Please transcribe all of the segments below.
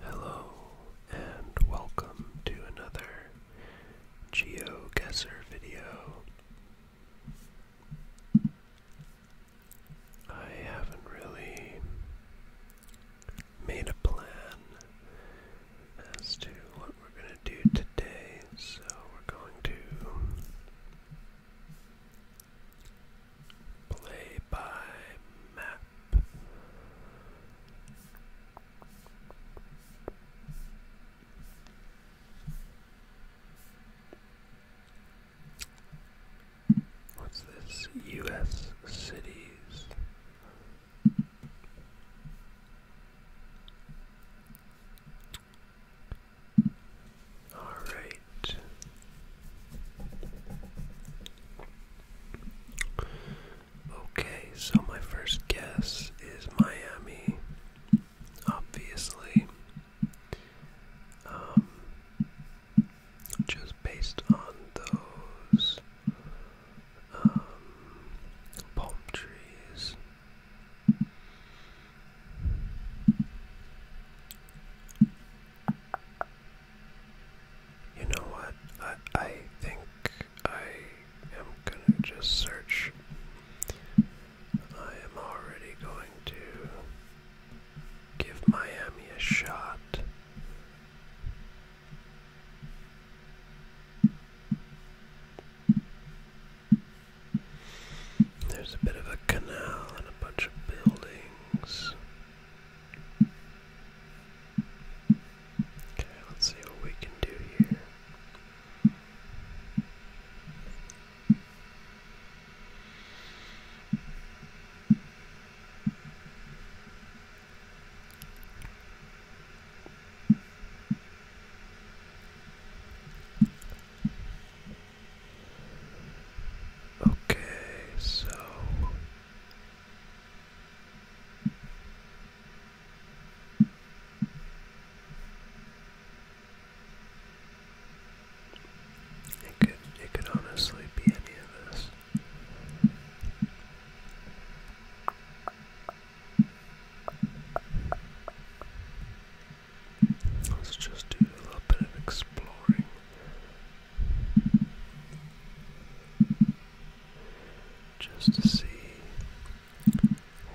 Hello and welcome to another GeoGuessr video. I haven't really made a plan as to what we're going to do today, so we're going to Play by map. What's this? U.S. cities. All right. Okay, so my first guess is Miami, obviously. Um, just based on those um, palm trees. You know what? I, I think I am gonna just search. I am already going to give Miami a shot. There's a bit of a canal and a bunch of buildings. Okay, let's see what we can do here. Okay, so it could it could honestly be any of this. Let's just do a little bit of exploring just to see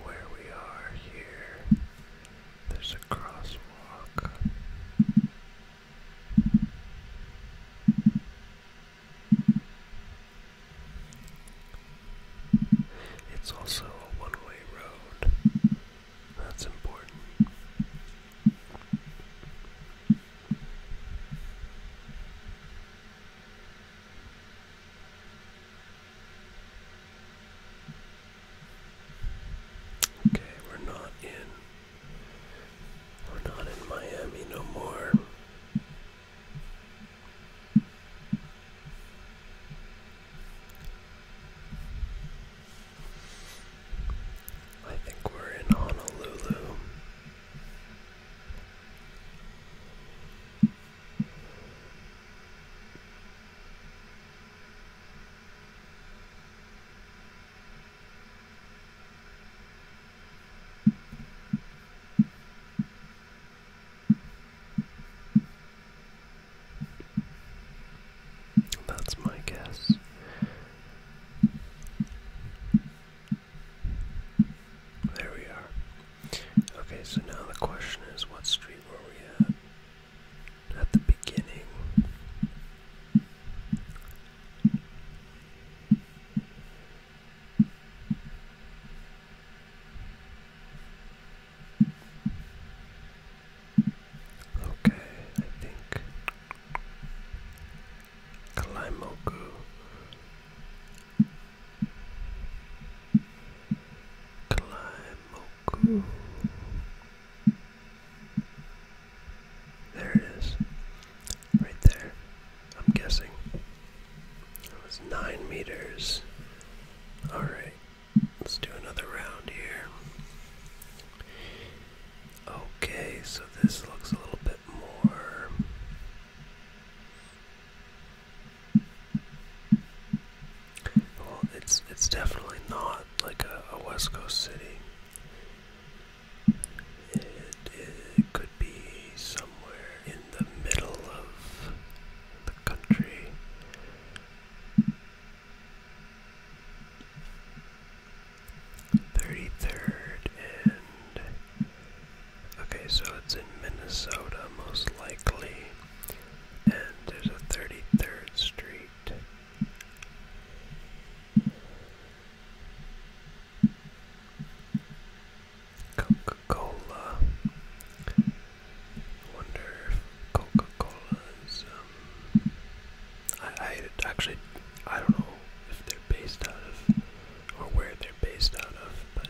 where we are here. There's a crosswalk. It's also a one way road, that's important. Okay, we're not in. We're not in Miami no more. I think we're in Honolulu. That's my guess. There we are. Okay, so now the question is what street were we at? At the beginning. Okay, I think Kalaimoku Kalaimoku There it is. Right there. I'm guessing. It was nine meters. Alright. Let's do another round here. Okay, so this looks a little bit more. Well, it's it's definitely not like a, West Coast city. it could be somewhere in the middle of the country. 33rd and... Okay, so it's in Minnesota, most likely. And there's a 33rd Street. Coca-Cola. wonder if Coca-Cola is... Um, um, I, I actually I don't know if they're based out of or where they're based out of, but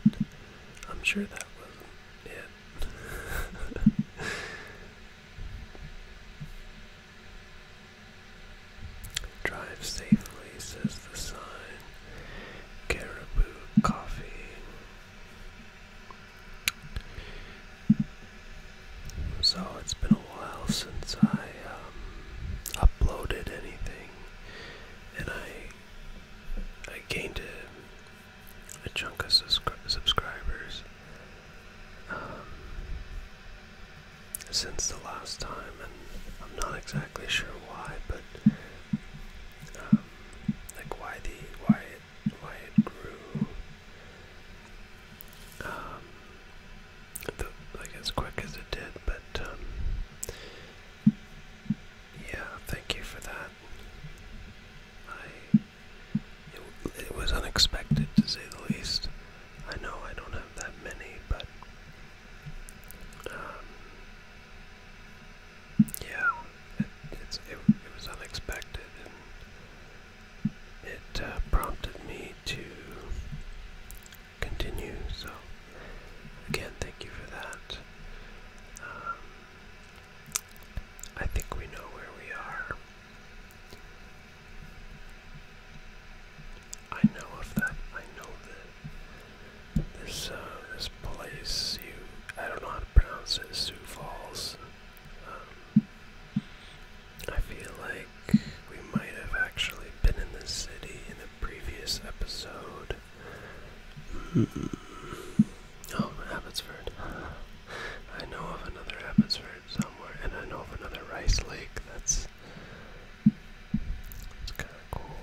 I'm sure that wasn't it. Drive safely, says the sign. Caribou coffee. So it's been a while since I um, uploaded anything, and I I gained a, a chunk of subscribers um, since the last time, and I'm not exactly sure why, but. Um, like why the why it why it grew um, the, like as quick as it did, but um, yeah, thank you for that. I it, was unexpected to say the least. I know I don't have that many, but um, yeah, it's, it, was unexpected, it uh, prompted me to continue. So, again, thank you for that. Um, I think we know where we are. I know of that. I know that this uh, this place. You, I don't know how to pronounce it. Sioux Falls. I feel like we might have actually been in the city in a previous episode. Hmm. Oh, Abbotsford. I know of another Abbotsford somewhere, and I know of another Rice Lake. That's it's kind of cool.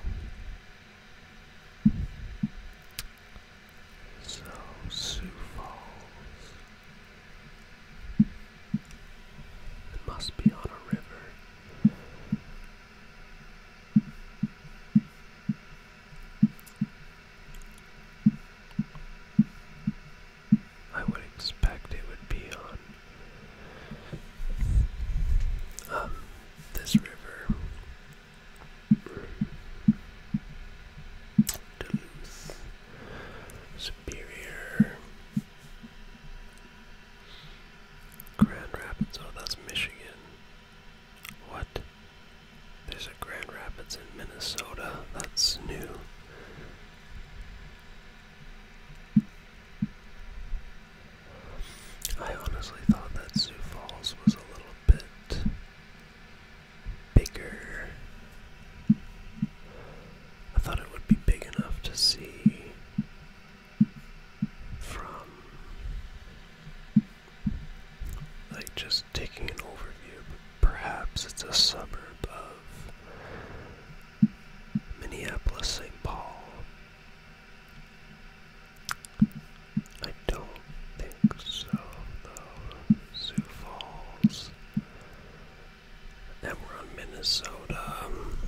So Sioux Falls. It must be on a river. I would expect it would be on um, this river. Duluth. Superior. Grand Rapids, oh, that's Michigan. What? There's a Grand Rapids in Minnesota. That's new. I honestly thought that Sioux Falls was a little bit bigger. I thought it would be big enough to see from like just taking an overview, perhaps it's a suburb of Minneapolis St. Paul. I don't think so though. Sioux Falls. And we're on Minnesota um,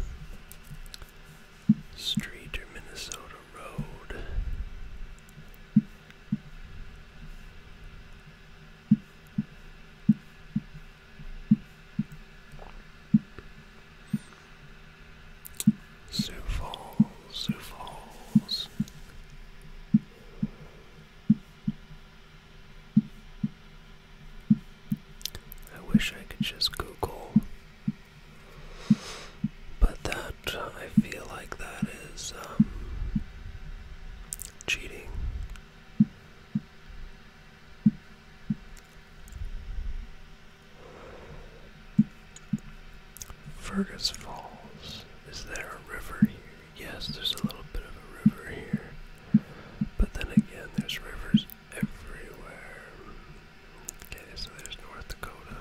Street or Minnesota Road. Sioux Falls, Sioux Falls. I wish I could just Google, but that I feel like that is um, cheating. Fergus Falls. Is there a river here? Yes, there's a little bit of a river here, but then again, there's rivers everywhere. Okay, so there's North Dakota.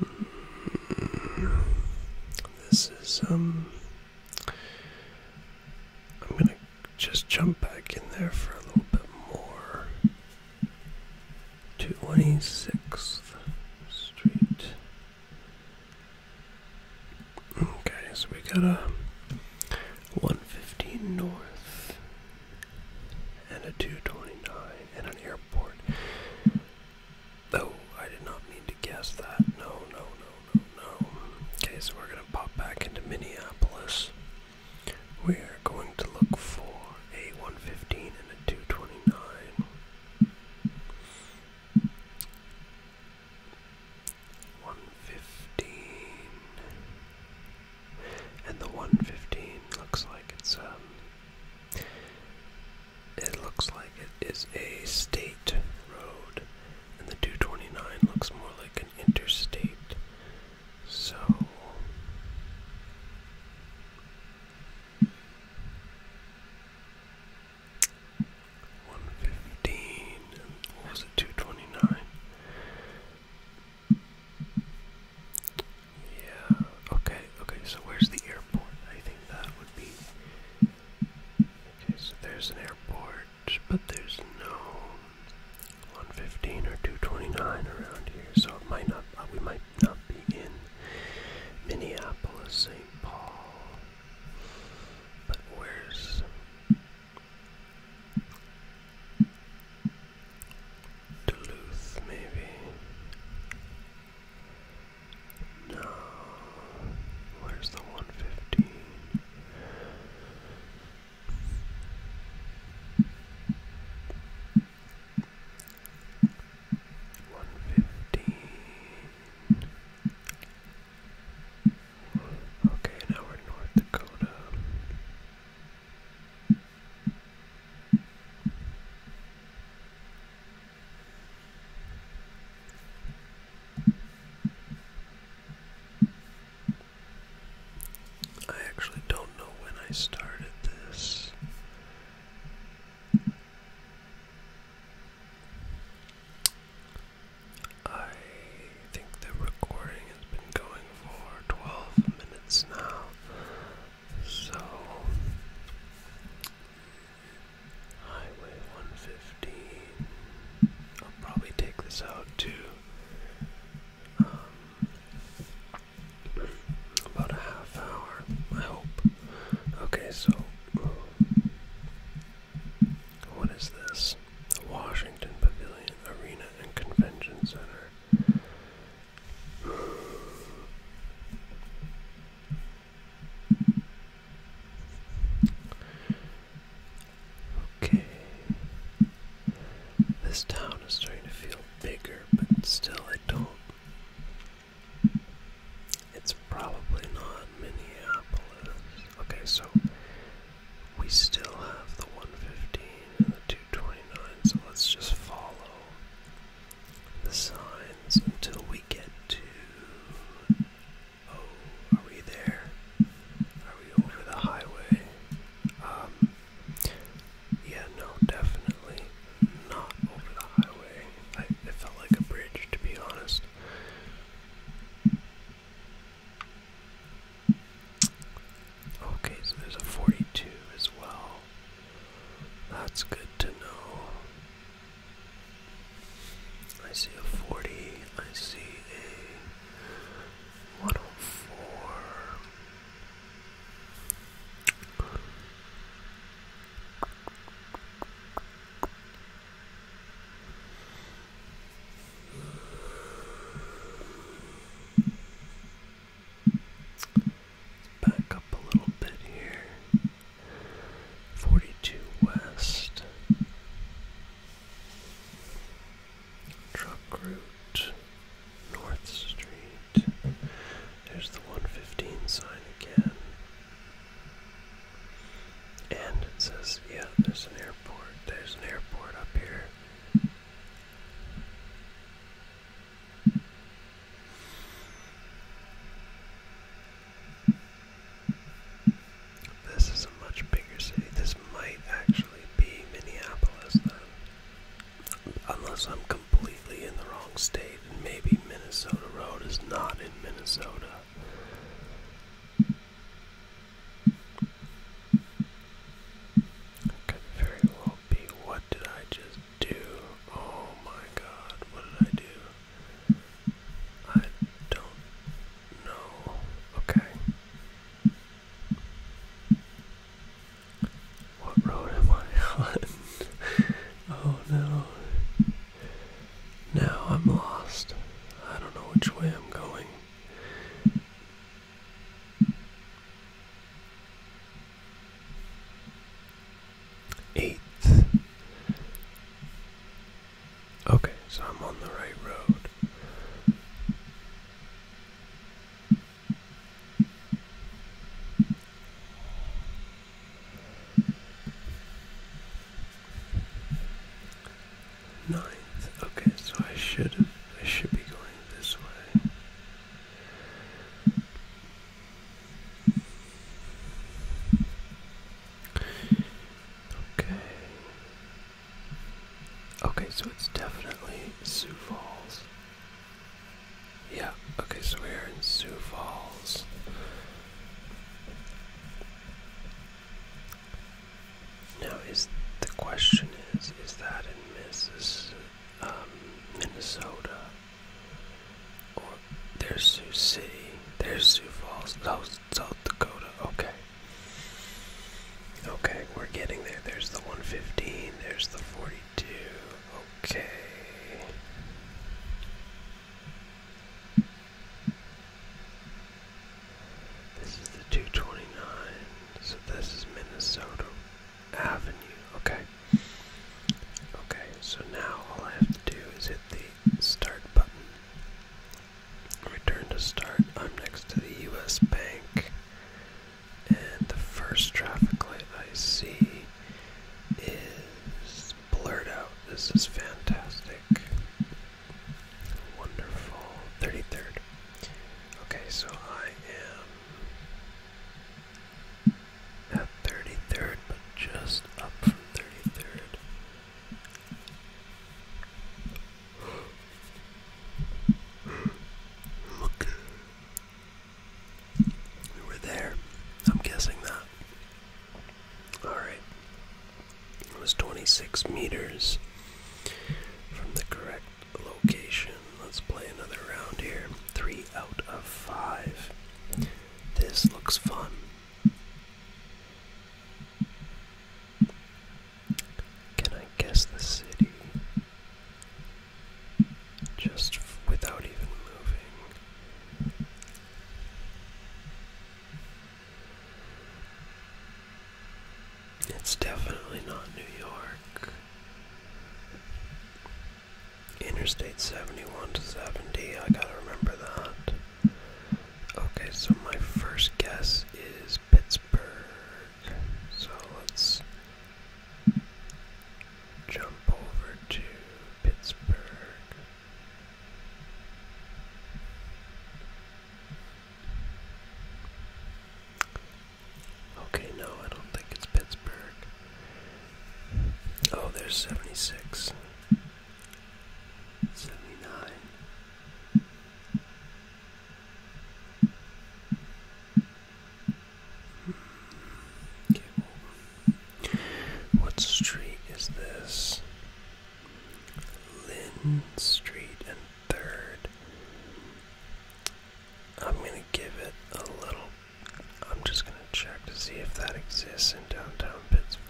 Hmm. This is, um, I'm gonna just jump back in there for a little bit more. Two Twenty Sixth Street. Okay, so we got a 115 North and a 229 and an airport. Oh, I did not mean to guess that. No, no, no, no, no. Okay, so we're gonna pop back into Minneapolis. We are going to look for a 115 and a 229. 115. And the 115 looks like it's, um, it looks like it is a state road, and the 229 looks more like an interstate so one fifteen was it two twenty nine? Yeah, okay, okay, so where's the airport? I think that would be Okay, so there's an airport, but there's no 115 or 229 around here, so it might not, uh, we might not be in Minneapolis, St. Paul, but where's Duluth, maybe? No, where's the 115? One fifteen. Okay, now North Dakota. I actually don't know when I started this. I think the recording has been going for 12 minutes now. So, Highway 115. I'll probably take this out too about a half hour, I hope. Okay, so what is this? Washington Pavilion Arena and Convention Center. Okay. This town is starting to feel bigger, but still I don't. It's probably not Minneapolis. Okay, so we still have the 115 and the 229, so let's just follow the signs until we get to. Oh, are we there? Are we over the highway? Um, yeah, no, definitely not over the highway. I, felt like a bridge, to be honest. Okay, so there's a 42 as well. That's good to know. I see a 40, I see a 104. Back up a little bit here. Forty two West Truck Route North Street. There's the 115 sign again. And it says, yeah, there's an airport. There's an airport up here. This is a much bigger city. This might actually be Minneapolis, then. Unless I'm completely in the wrong state, and maybe Minnesota Road is not in Minnesota. Could very well be. What did I just do? Oh my god, what did I do? I don't know. Okay. What road am I on? oh no. Now I'm lost. I don't know which way I'm going. Eighth. Okay, so I'm on the right road. Ninth. Okay, so I should have, I should be going this way. Okay. Okay, so it's definitely Sioux Falls. Yeah, okay, so we're in Sioux Falls. Now, is the question is, is that in Mrs. Um, Minnesota? Or there's Sioux City, there's Sioux Falls, South, South Dakota, okay. Okay, we're getting there. There's the 115, there's the 40 do. Okay. This is the 229. So this is Minnesota Avenue. Okay. Okay, so now all I have to do is hit the start button. Return to start. I'm next to the US Bank and the first traffic light I see is blurred out. This is fantastic. Wonderful. 33rd. Okay, so I am at 33rd, but just up from 33rd. Look, we were there. I'm guessing that. Alright. It was 26 meters from the correct location. Let's play another round here. Three out of five. This looks fun. Can I guess the city? Just without even moving. It's definitely not New York. Interstate 71 to 70, I gotta remember that. Okay, so my first guess is Pittsburgh. So let's Jump over to Pittsburgh. Okay, no, I don't think it's Pittsburgh. Oh, there's 76. 79 what street is this? Lynn Street and Third. I'm gonna give it a little. I'm just gonna check to see if that exists in downtown Pittsburgh.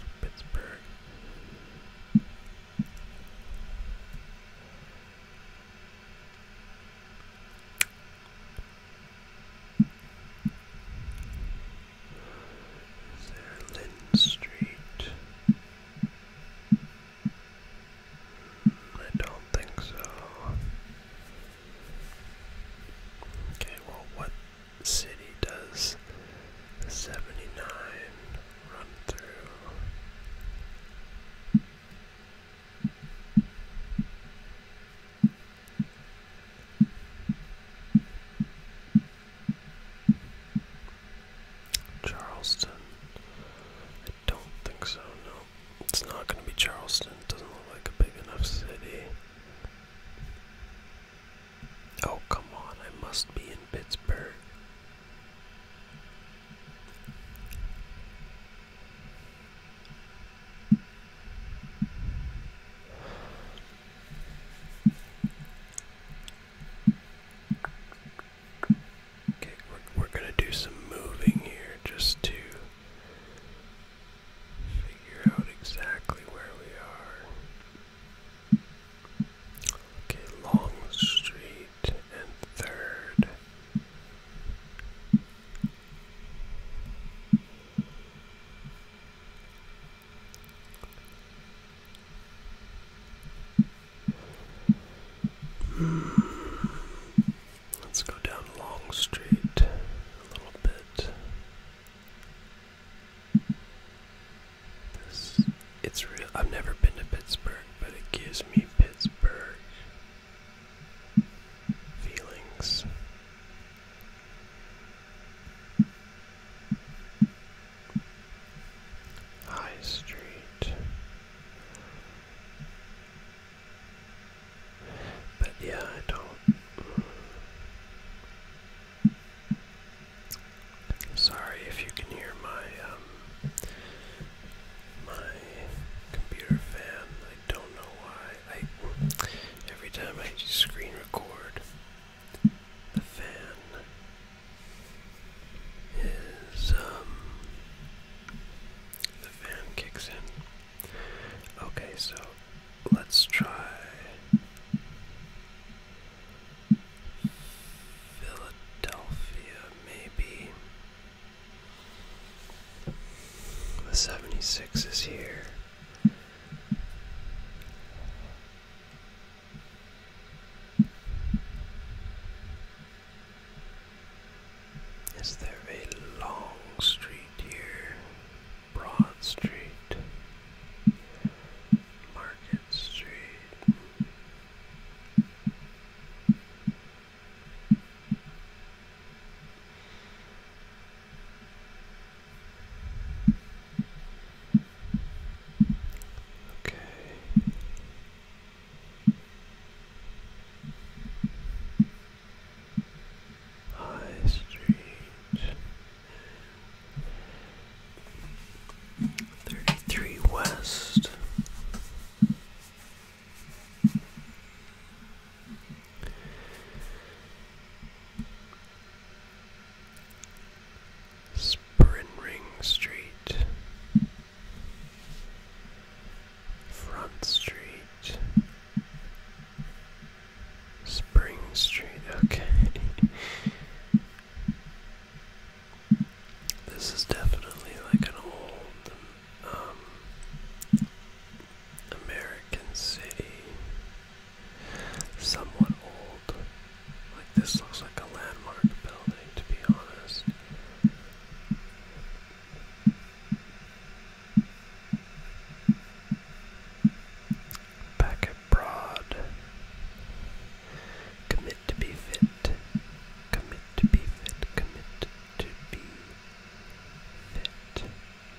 Is Street? I don't think so. Okay, well, what city does 79 run through? Charleston. I don't think so, no. It's not going to be Charleston. It doesn't look like a big enough city. Oh, come on. I must be in Pittsburgh. Okay, we're, going to do some moving here just to figure out exactly where we are. Okay, Long Street and third. Hmm. Let's go down Long Street a little bit. This, it's real. I've never been to Pittsburgh, but it gives me Pittsburgh feelings. High Street. But yeah, I don't. Sorry if you can hear my um, my computer fan. I don't know why. I every time I just screen record, the fan is um the fan kicks in. Okay, so let's try. Philadelphia, maybe. The 76 is here. Is there a long street here? Broad Street, Market Street. Okay. High Street. 33 West. Sprinring Street, Front Street, Spring Street, okay. This is definitely like an old um, American city, somewhat old. Like this looks like a landmark building, to be honest. Packet broad. Commit to be fit. Commit to be fit. Commit to be fit,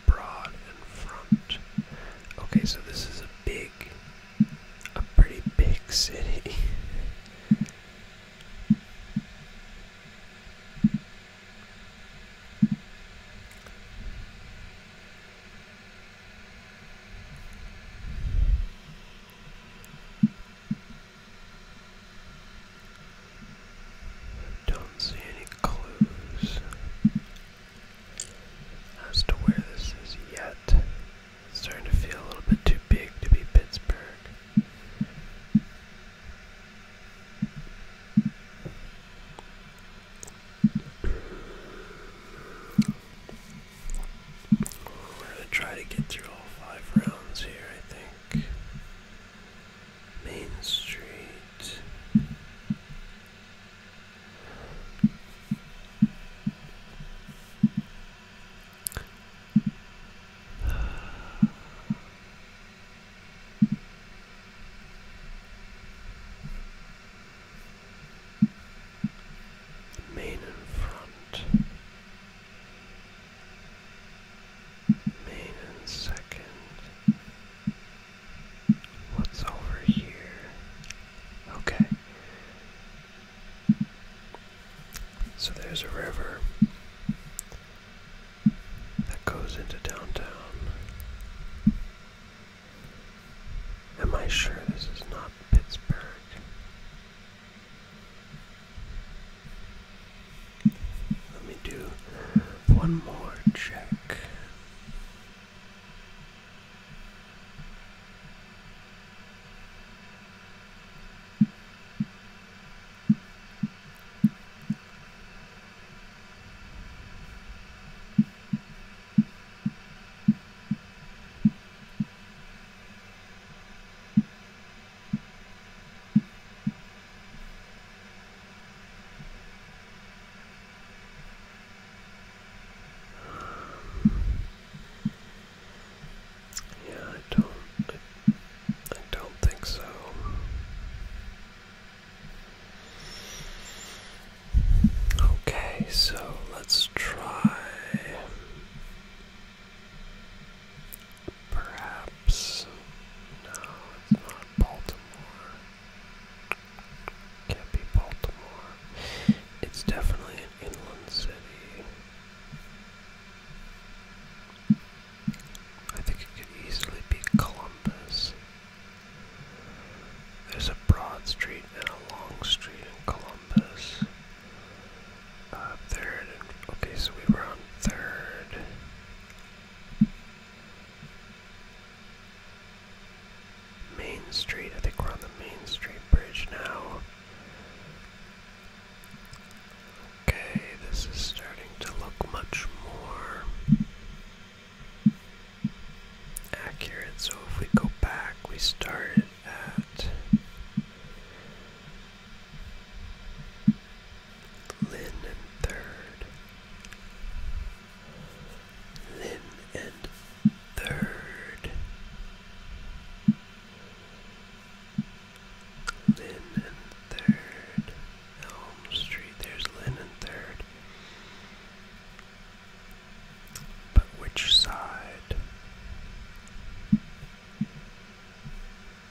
broad in front. Okay, so this is a big, a pretty big city. I don't see any clues as to where this is yet. starting to feel a little bit too big to be Pittsburgh. We're going to try to get through all five rounds here, I think. Bank, Main Street. Main in front. Main and second. What's over here? Okay. So there's a river that goes into downtown. Am I sure this is not Pittsburgh? Let me do one more check. Yeah, I don't I, don't think so. Okay, so let's try Perhaps. No, it's not Baltimore. Can't be Baltimore. It's definitely an inland city. I think it could easily be Columbus. There's a broad street and a long street in Columbus. Uh, third. Okay, so we were on third. Main Street. I think we're on the Main Street Bridge now. Okay, this is starting to look much more accurate. So if we go back, we start at Lynn third. Lynn third. Lynn third. Elm Street, there's Lynn third. But which side?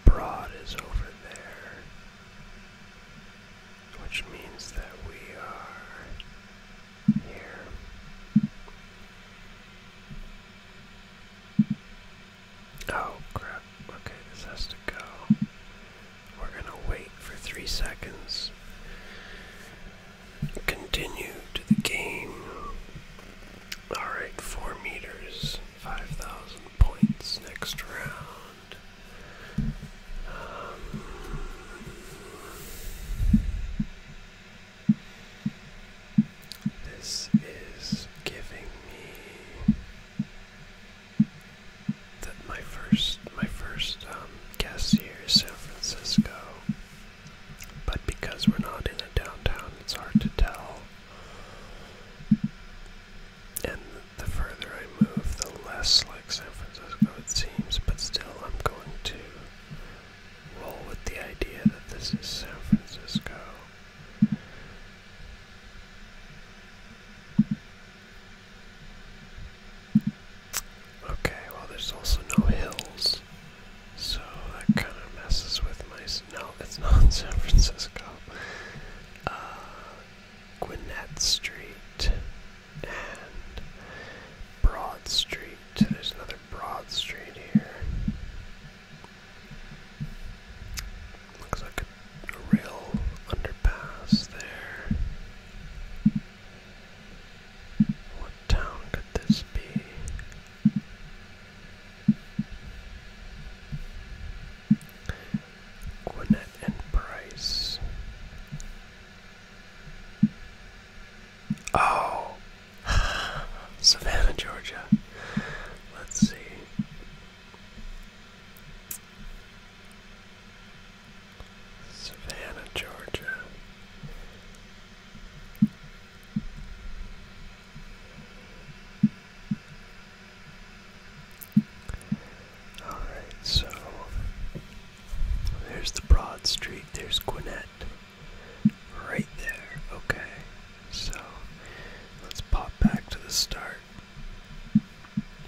Broad is over there, which means that we are here. Oh crap, okay, this has to go. We're gonna wait for three seconds. Continue to the game. Alright, four meters. 5,000 points next round. Um, this is giving me that my first my first um, guess here is San Francisco, but because we're not in a downtown, it's hard to tell and the further I move, the less like San Francisco it seems, but still I'm going to roll with the idea that this is San Francisco. Okay, well, there's also no hills, so that kind of messes with my. No, it's not San Francisco. Uh, Gwinnett Street and Broad Street. There's another Broad Street here. Looks like a, a real underpass there. What town could this be? Gwinnett and Price. Oh, Savannah, Georgia. Let's see. Savannah, Georgia. Alright, so there's the Broad Street, there's Gwinnett. Right there, okay. So let's pop back to the start.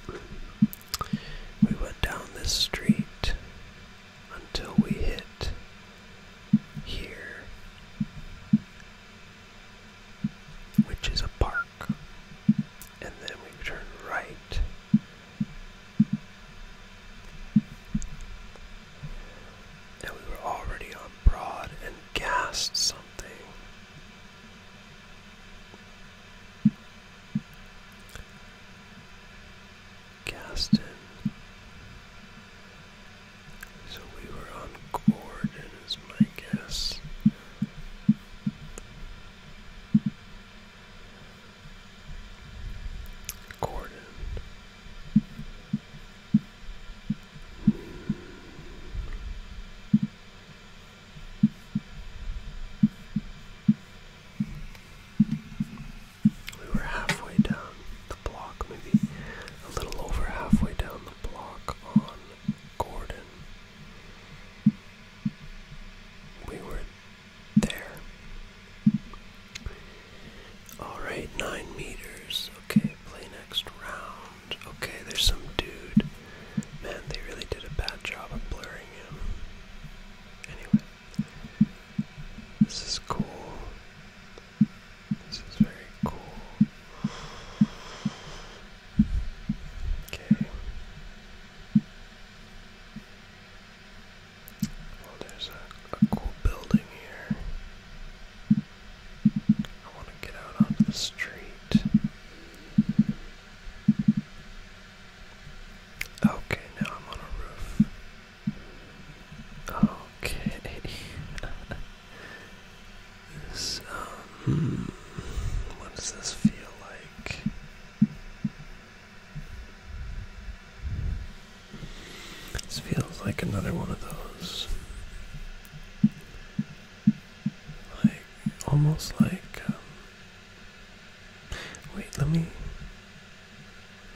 We went down this street until we hit here which is a park. And then we turn right. And we were already on Broad and gassed something. Gaston so we were on Gordon, is my guess. Gordon. Hmm. We were halfway down block, maybe a little over halfway down the block on Gordon. We were there. Alright, nine meters. Okay, play next round. Okay, there's some dude. Man, they really did a bad job of blurring him. Anyway, this is cool. This is very cool. Okay. Well, there's a, cool building here. I want to get out onto the street. Okay, now I'm on a roof. Okay. Um, what does this feel like? This feels like another one of those. Like, almost like. Um, wait, let me.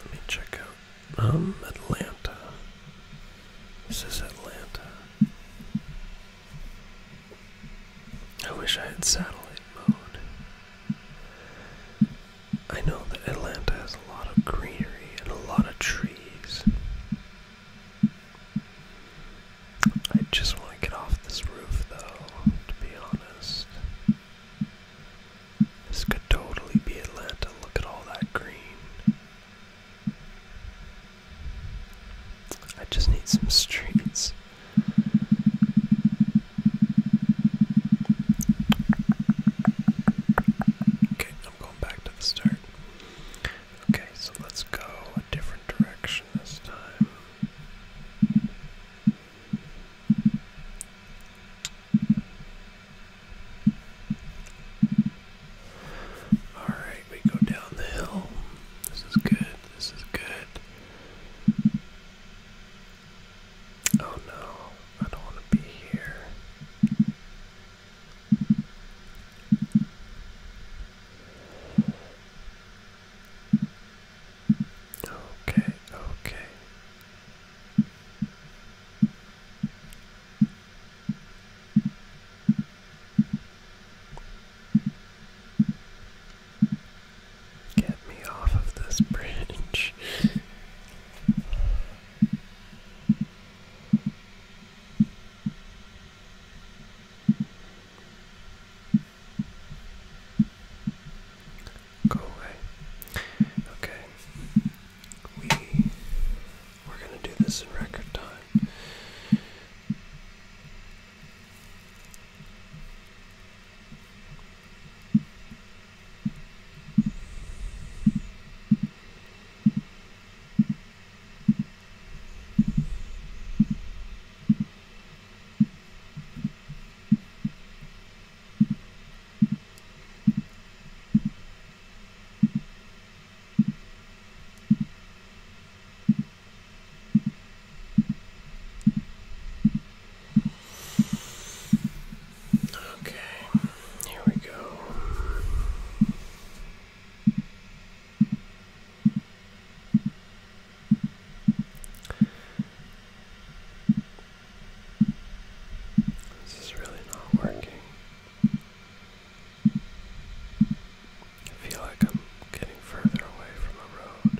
Let me check out I'm um, Atlanta. This is Atlanta. I wish I had satellite mode. I know that Atlanta has a lot of greenery and a lot of trees. I just want to get off this roof though, to be honest. This could totally be Atlanta. Look at all that green. I just need some streets. Okay, I'm going back to the start. Okay, so let's go a different direction this time. Alright, we go down the hill. This is good. This is good. Oh no, I don't want to be here. Okay, okay. Get me off of this bridge. Go away. Okay we we're gonna do this in record time. Okay, here we go. This is really not working. I feel like I'm getting further away from the road.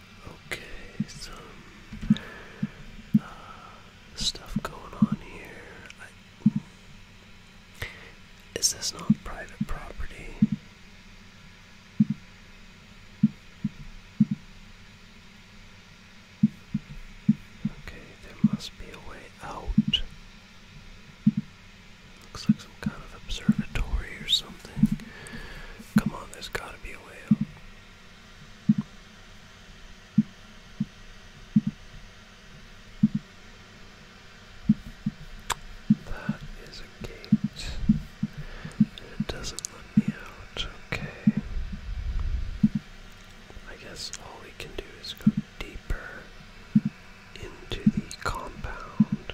Okay, some uh, stuff going on here. this not private property? Okay, there must be a way out. Looks like some kind of observatory or something. Come on, there's gotta be a way out. That is a gate. and It doesn't let me out. Okay. I guess all we can do is go deeper into the compound.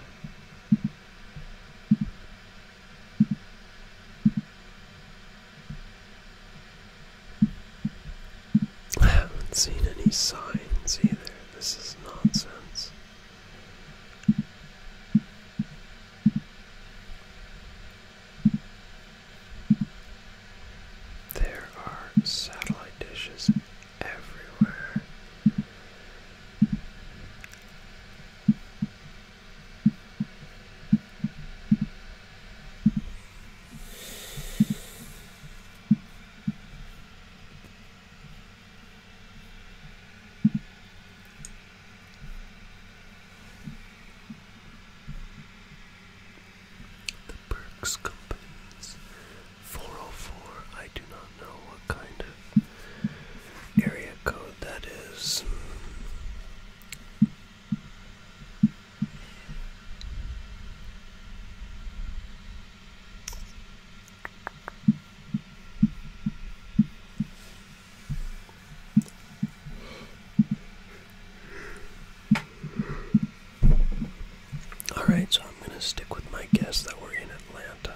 I haven't seen any signs either. This is nonsense. There are satellite dishes everywhere. The Burks Companies. 404. I do not know what kind of area code that is. All right, so I'm going to stick with my guess that we're in Atlanta.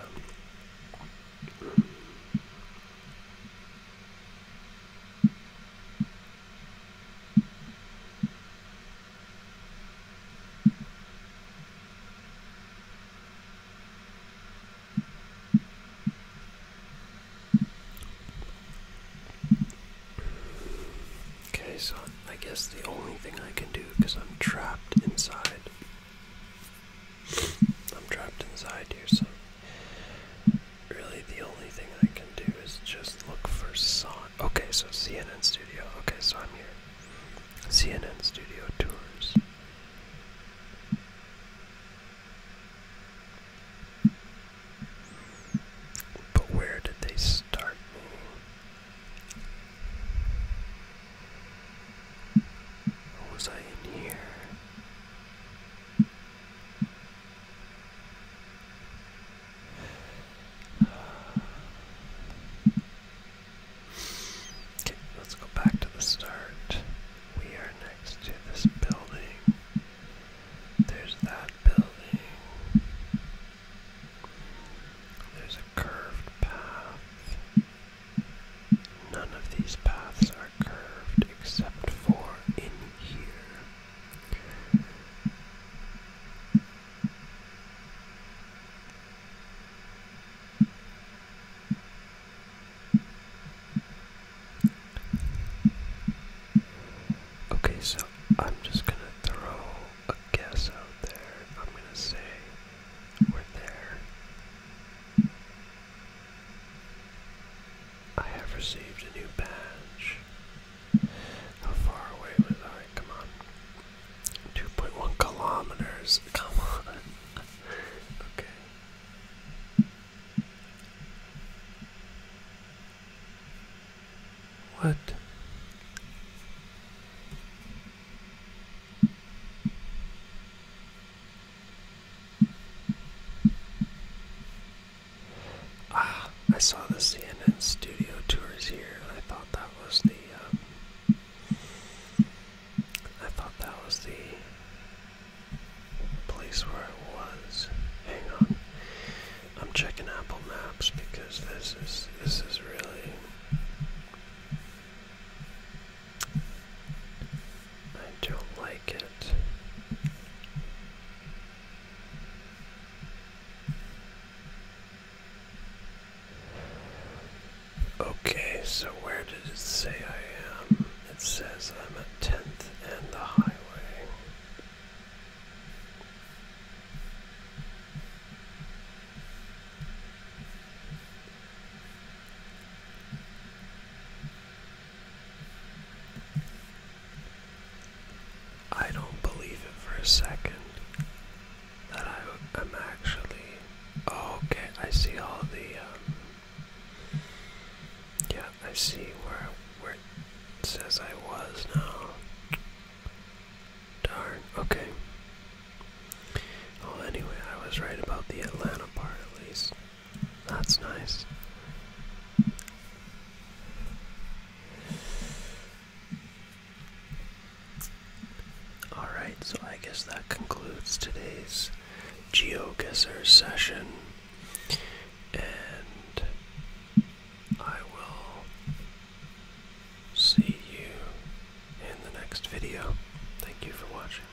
Okay, so I guess the only thing I can do because I'm trapped inside. I'm trapped inside here, so Really, the only thing I can do is just look for song. Okay, so CNN Studio. Okay, so I'm here. CNN Studio Tours. But where did they start me? Was I in here? Okay, let's go back to the start. We are next to this building. There's that building. There's a curved path. None of these paths are curved except for in here. Okay, so I'm just gonna throw a guess out there. I'm gonna say we're there. I have received a new badge. How far away was I? Come on. 2.1 kilometers. Come on. okay. What? Ah, I saw the CNN studio tours here, and I thought that was the. Um, I thought that was the place where it was. Hang on, I'm checking Apple Maps because this is this is really I don't like it. Okay, so where did it say I am? It says I'm a 10th and the highway. I don't believe it for a second that I am actually. Oh, okay, I see all the. Um, yeah, I see where where it says I was now. Darn. Okay. Well, anyway, I was right about the Atlanta part, at least. That's nice. Alright, so I guess that concludes today's geoguesser session. And I will see you in the next video. Thank you for watching.